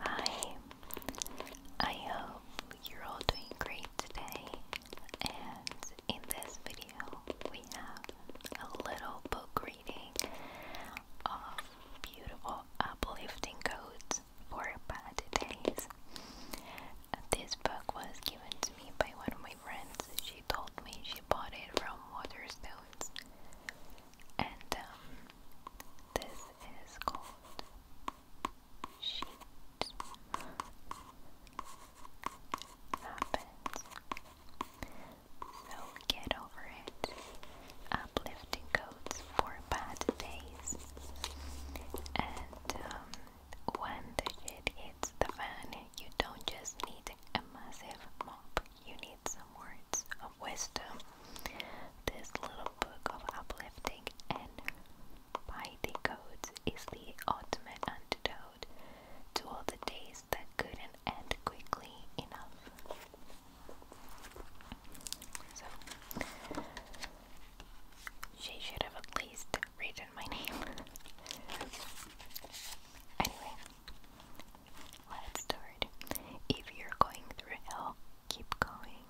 Hi, I hope you're all doing great today. And in this video, we have a little book reading of beautiful, uplifting codes for bad days. This book was given to me by one of my friends. She told me she bought it from Waterstones and um, this is called sheet happens. So get over it. Uplifting codes for bad days, and um, when the shit hits the fan, you don't just need a massive mop. You need some words wisdom, this little book of uplifting and piety codes is the ultimate antidote to all the days that couldn't end quickly enough. she should have at least written my name. anyway, Let's start. If you're going through hell, keep going.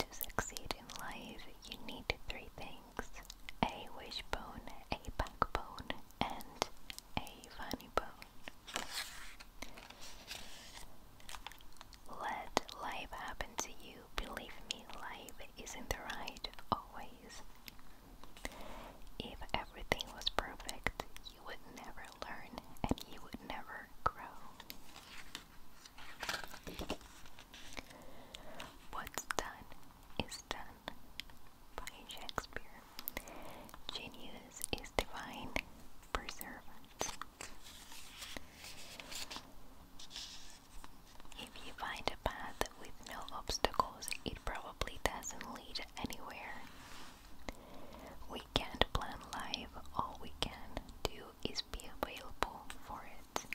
To succeed in life, you need three things a wishbone, a backbone, and a funny bone. Let life happen to you. Believe me, life isn't right always. If everything was perfect, you would never learn and you would never grow. What's done is done by Shakespeare. Genius is divine for If you find a path with no obstacles, it probably doesn't lead anywhere. We can't plan life. all we can do is be available for it.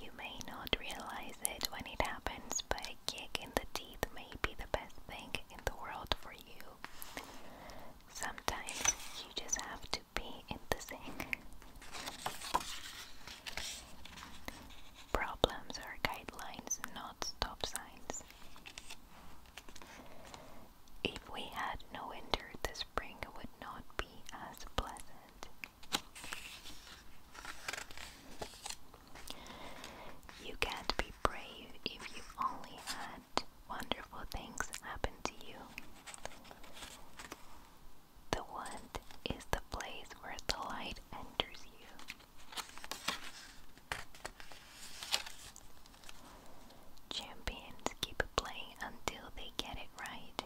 You may not realize it when it happens, but a the teeth may be the best thing in the world for you. Sometimes you just have to be in Problems are guidelines, not stop signs. If we had no winter, the spring would not be as pleasant. You can't be brave if you only had wonderful things happen to you. The wand is the place where the light enters you. Champions keep playing until they get it right.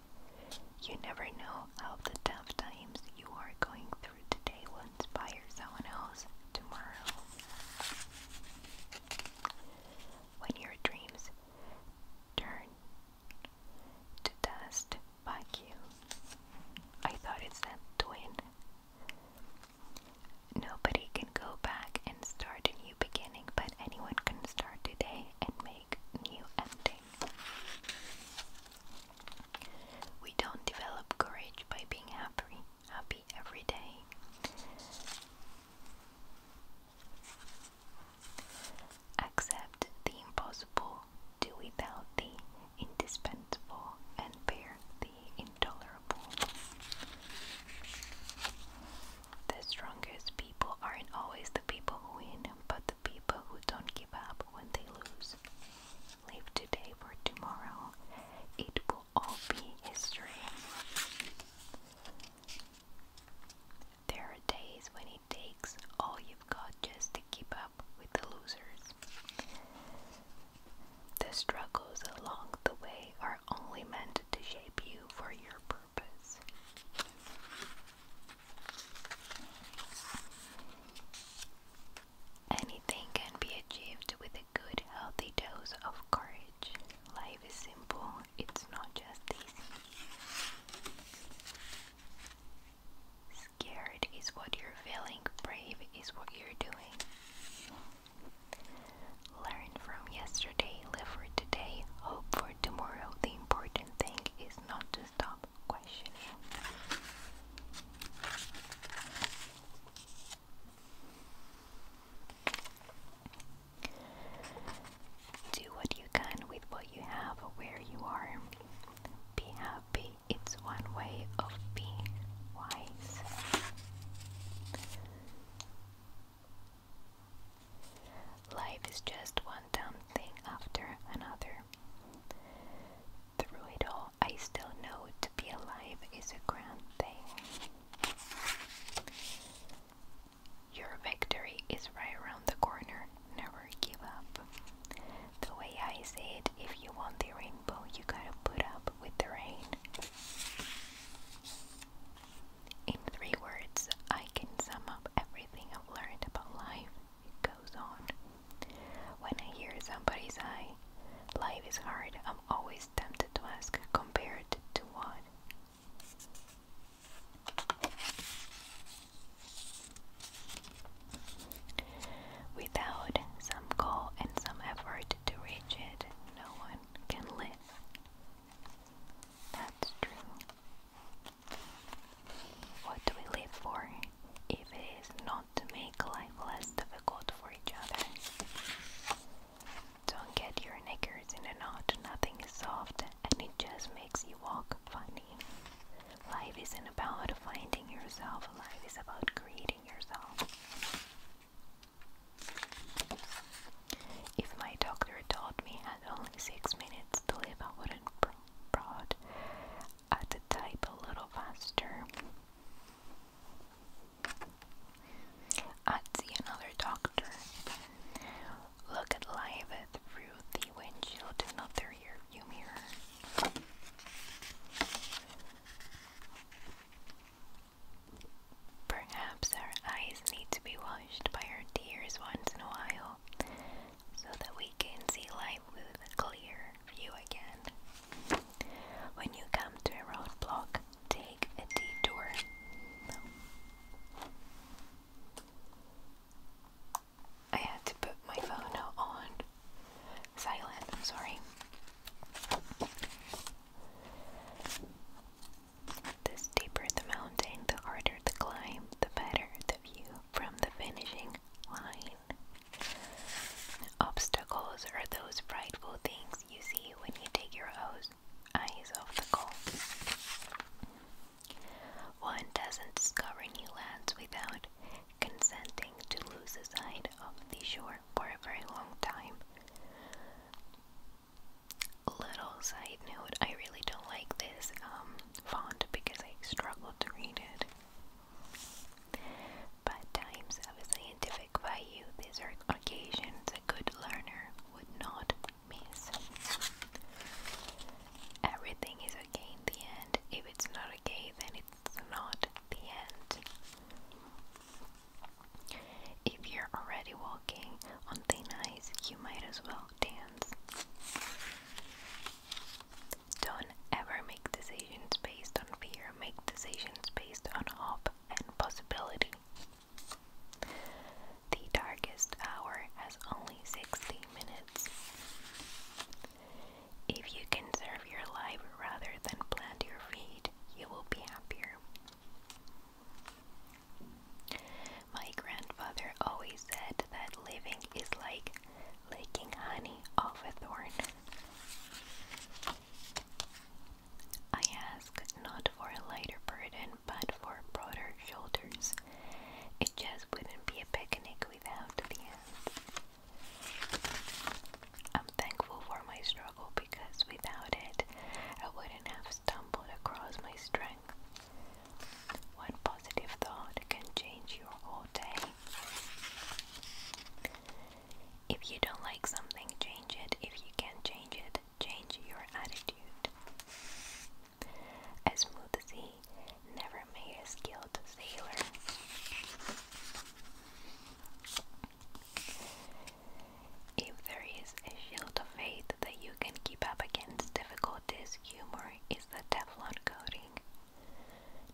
You never know how the tough times you are going through today will someone else tomorrow. When your dreams turn to dust vacuum. I thought it's that twin. Nobody can go back and start a new beginning, but anyone can start today and make new ending. We don't develop courage by being happy, happy every day. Accept the impossible, do without the indispensable, and bear the intolerable. The strongest people aren't always the people who win, but the people who don't give up when they lose. Live today for tomorrow. It will all be history. There are days when it takes all you've got just to keep up with the losers. The struggles along the way are only meant to shape you for your purpose. Anything can be achieved with a good, healthy dose of courage. Life is simple, it's not just easy. Scared is what you're feeling, brave is what you're doing. Learn from yesterday, live for today, hope for tomorrow. The important thing is not to stop questioning. Do what you can with what you have where you are. Be happy, it's one way of being wise. Life is just one dumb thing after another. Through it all, I still know to be alive is a grand thing. Your victory is right around the corner. Never give up. The way I say it, if you want the rainbow, you gotta put up with the rain. In three words, I can sum up everything I've learned about life. It goes on. When I hear somebody say, life is hard, I'm always tempted to ask, compared to what? Without some goal and some effort to reach it, no one can live. That's true. What do we live for if it is not to make life less difficult for each other? Don't get your knickers in a knot, nothing is soft and it just makes you walk funny. Life isn't about finding yourself, life is about creating yourself. If my doctor told me I had only six minutes to live, I wouldn't prod at the type a little faster. I'd see another doctor. Look at life through the windshield not the rear view mirror. Perhaps our eyes need to be washed by our tears once in a while so that we can see life with a clear view again. When you come to a roadblock, take a detour. I had to put my phone on silent, I'm sorry. The steeper the mountain, the harder the climb, the better the view from the finishing line. Obstacles are those frightful things you see when you take your eyes off the goal. One doesn't discover new lands without consenting to lose the sight of the shore for a very long time. Little side note, I really don't like this um, font because I struggle to read it. But times of a scientific value, these are occasions a good learner would not miss. Everything is okay in the end. If it's not okay, then it's not the end. If you're already walking on thin ice, you might as well dance. Don't ever make decisions based on fear, make decisions based on hope and possibility. The darkest hour has only 60 minutes. If you conserve your life rather than plant your feet, you will be happier. My grandfather always said that living is like licking honey off a thorn. I ask not for a lighter burden, but for broader shoulders. It just wouldn't be a picnic without the end. I'm thankful for my struggle because without it, I wouldn't have stumbled across my strength. One positive thought can change your whole day. If you don't like something, change it. If you can't change it, change your attitude. As smooth as he, never made a skilled sailor. If there is a shield of faith that you can keep up against difficulties, humor is the Teflon coating.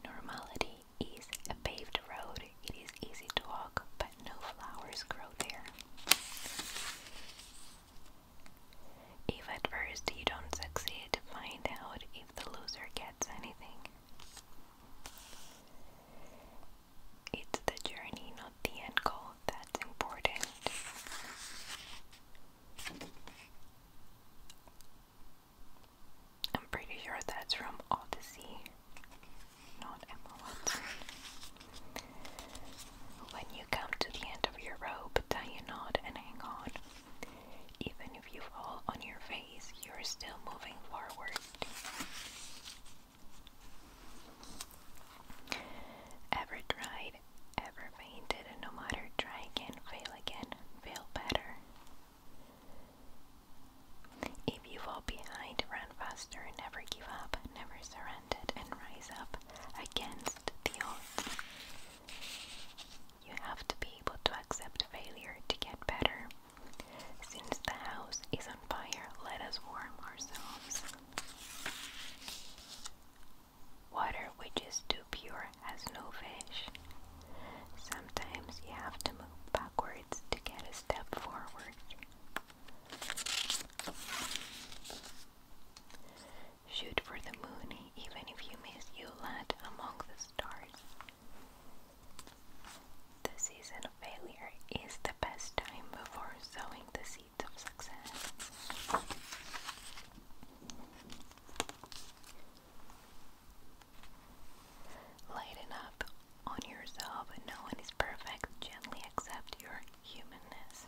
Normality is a paved road, it is easy to walk, but no flowers grow there. If at first you don't succeed, find out if the loser gets anything. It's the journey, not the end goal, that's important. I'm pretty sure that's from Odyssey, not Emma Watson. When you come to the end of your rope, tie a knot and hang on. Even if you fall on your face, you're still moving forward. Ever tried, ever fainted, and no matter, try again, fail again, fail better. If you fall behind, run faster, never give up, never surrender, and rise up against the odds. You have to be able to accept failure to get better. Since the house is on fire, let us warm ourselves. Water which is too pure has no fish. Sometimes you have to move backwards to get a step forward. Shoot for the moon, even if you miss, you land among the stars. The season of failure is the best time before sowing the seeds of success. Lighten up on yourself. No one is perfect. Gently accept your humanness.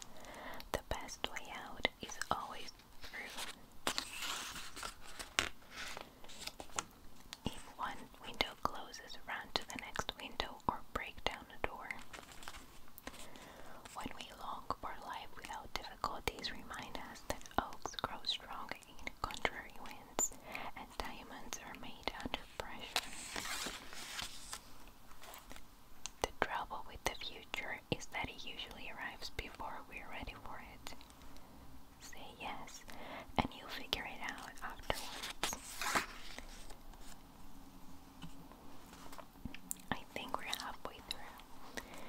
The best way out is always if one window closes, run to the next window or break down a door. When we long for life without difficulties, remind us that oaks grow strong in contrary winds, and diamonds are made under pressure. The trouble with the future is that it usually arrives before we're ready for it. Say yes, and you'll figure it out afterwards. I think we're halfway through.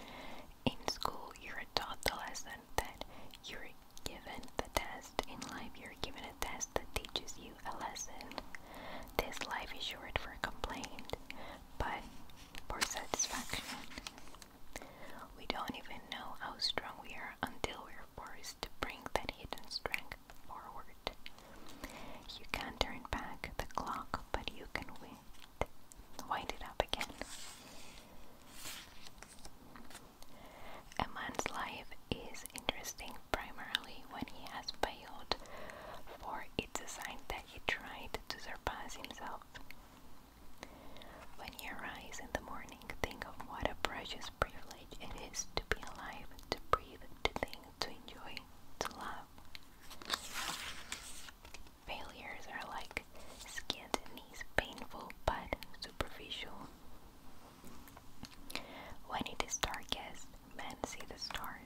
In school, you're taught the lesson that you're given the test. In life, you're given a test that teaches you a lesson. This life is short for complaint, but for satisfaction. We don't even know how strong we are until we're forced to bring that hidden strength forward. You can't turn back the clock, but you can wind, wind it up again. A man's life is interesting primarily when he has failed, for it's a sign that he tried to surpass himself. When he rises in the morning, think of what a precious privilege it is to be alive, to breathe, to think, to enjoy, to love. Failures are like skinned knees, painful but superficial. When it is darkest, men see the stars.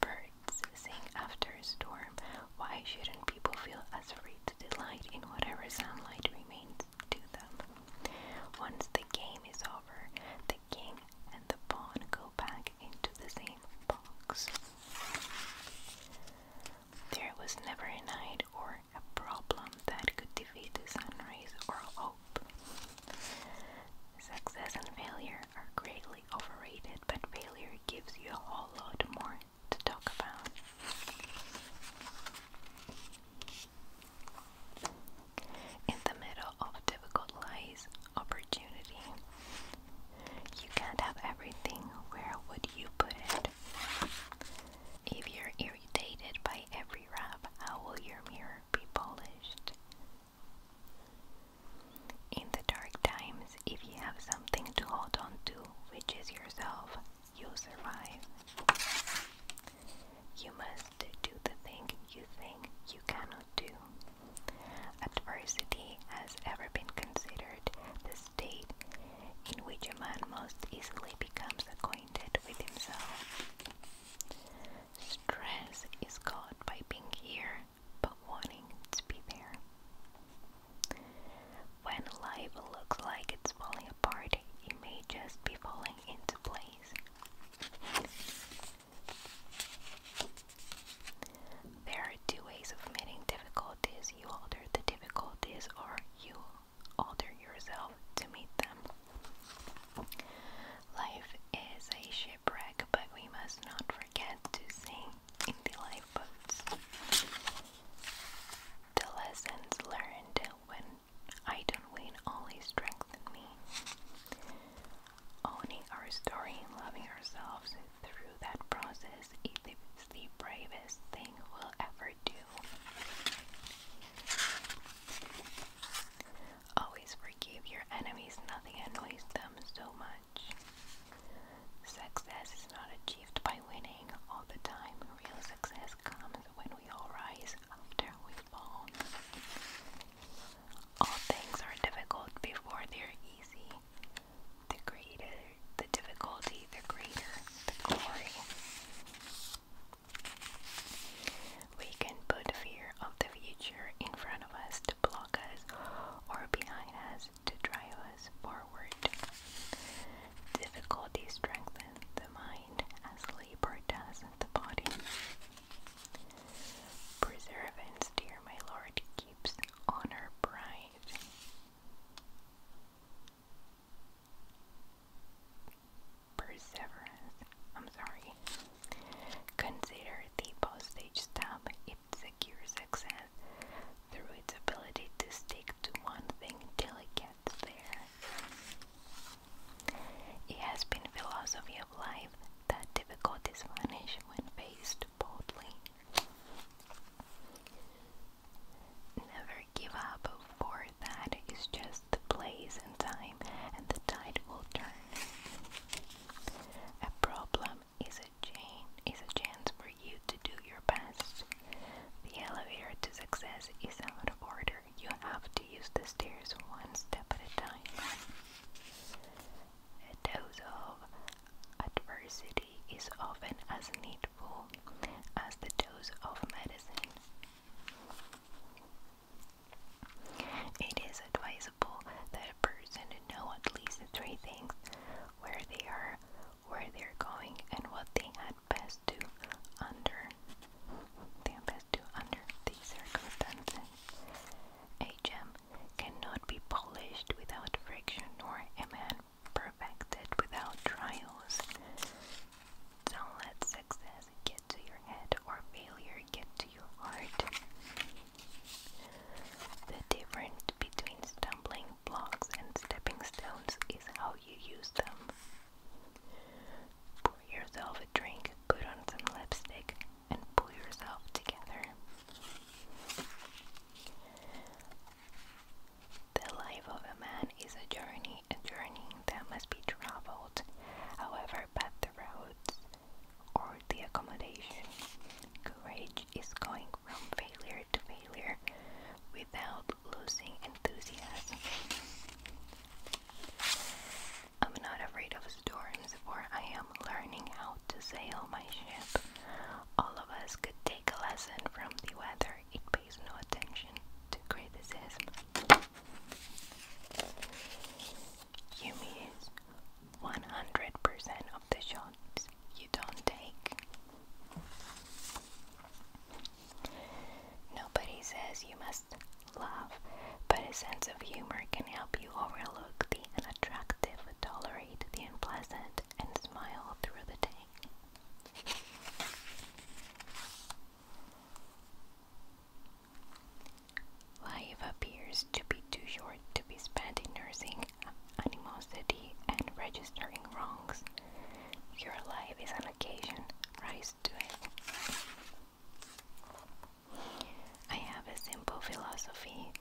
Birds sing after a storm. Why shouldn't people feel as free to delight in whatever sunlight remains to them? Once the game is over, the king and the pawn go back into the same box. There was never a night or a problem that could defeat the sunrise or Success and failure are greatly overrated, but failure gives you a whole lot more to talk about. In the middle of difficult lies opportunity. You can't have everything, where would you put it? If you're irritated by every rap, how will your mirror be polished? In the dark times, if you have something to hold on to, which is yourself, you'll survive. You must do the thing you think you cannot do. Adversity has ever been considered the state in which a man most easily becomes acquainted with himself. Stress is caused by being here but wanting to be there. When life looks like it's falling apart, it may just be falling into place. There are two ways of meeting difficulties. You alter the difficulties or you alter yourself to meet them. Life is a shipwreck, but we must not forget to sing in the lifeboats. The lessons learned when I don't win only strengthen me. Owning our story and loving ourselves through that process is the bravest thing we'll ever do. Always forgive your enemies, nothing annoys them so much. Success is not achieved by winning all the time. Real success comes when we all rise after we fall. All things are difficult before they're easy. The greater the difficulty, the greater the glory. We can put fear of the future in front of us to block us or behind us to drive us forward. Difficulty strengthens the mind as labor does the body. Preserve and steer, my Lord, keeps honor bright perseverance. I'm sorry. Consider the postage stamp. It secures success through its ability to stick to one thing till it gets there. It has been philosophy of life that difficulties vanish when faced boldly. Never give up, for that is just the place and time and the tide will turn. A problem is a chain is a chance for you to do your best. The elevator to success is out of order. You have to use the stairs one step at a time. A dose of adversity is often as needful as the dose of medicine. It is advisable that a person know at least three things where they are, where they're going, and what they had best do under the best do under these circumstances. A gem cannot be polished without friction nor a man perfected without trials. Don't let success get to your head or failure get to your heart. The difference between stumbling blocks and stepping stones is how you use them. Pour yourself a drink, put on some lipstick, and pull yourself together. The life of a man is a journey, a journey that must be traveled however bad the roads or the accommodation. Courage is going from failure to failure without losing enthusiasm. I'm not afraid of storms, for I am learning how to sail my ship. All of us could take a lesson from the weather, it pays no attention to criticism. Yumi is 100% of the shots you don't take. Nobody says you must laugh, but a sense of humor can help you overlook the unattractive, tolerate the unpleasant, and smile through the day. Life appears to be too short to be spent in nursing animosity and registering wrongs. Your life is an occasion, rise to it. I have a simple philosophy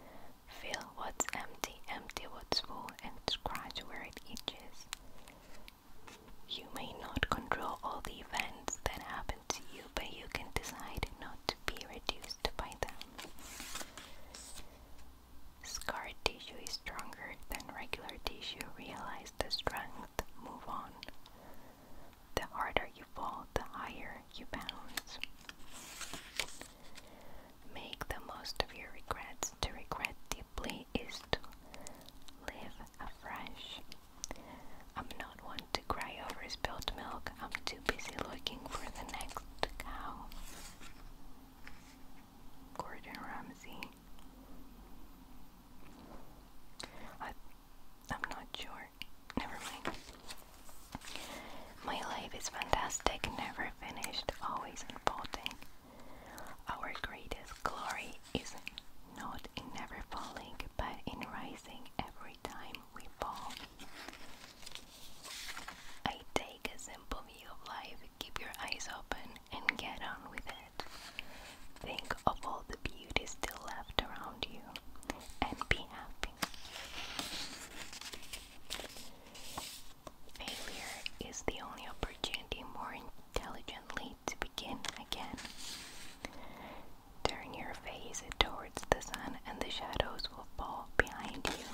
fill what's empty, empty what's full, and scratch where it itches. You may not control all the events that happen you, but you can decide not to be reduced by them. Scar tissue is stronger than regular tissue. Realize the strength, move on. The harder you fall, the higher you bounce. Make the most of your regrets. To regret deeply is to live afresh. I'm not one to cry over spilled milk, I'm too busy looking for the next cow. Gordon Ramsay. I, am not sure. Never mind. My life is fantastic, never finished, always unfolding. Our greatest glory is not in never falling, but in rising every time we fall. I take a simple view of life, keep your eyes open, and get on with it. Think of all the beauty still left around you and be happy. Failure is the only opportunity more intelligently to begin again. Turn your face towards the sun and the shadows will fall behind you.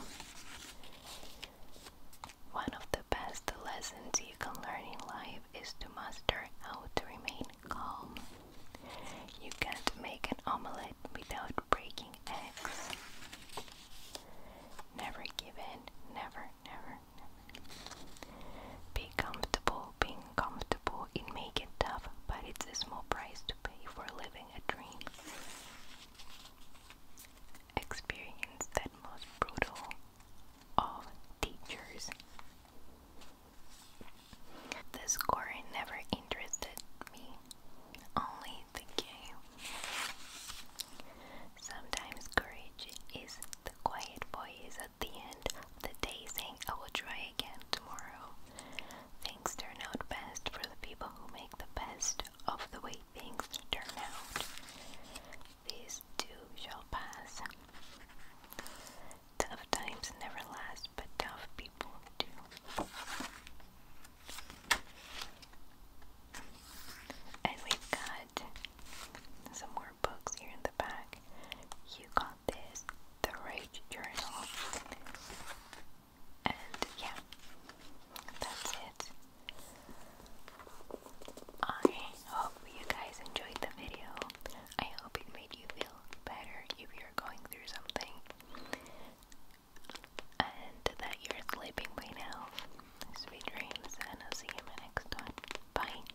One of the best lessons you can learn in life is to master how to remain calm. You can't make an omelette without breaking eggs. Never give in, never, never, never. Be comfortable being uncomfortable, it may get tough, but it's a small price to pay for living a dream. Experience that most brutal of teachers. The score never interested me, only the game. Sometimes courage is the quiet voice the end the day saying, I will try again tomorrow. Things turn out best for the people who make the best of the way things turn out. These too shall pass. Tough times never last, but tough people do. And we've got some books here in the back. You got this, the Rage Journal. And yeah, that's it. I hope you guys enjoyed the video. I hope it made you feel better if you're going through something and that you're sleeping by Sweet dreams, and I'll see you in my next one. Bye.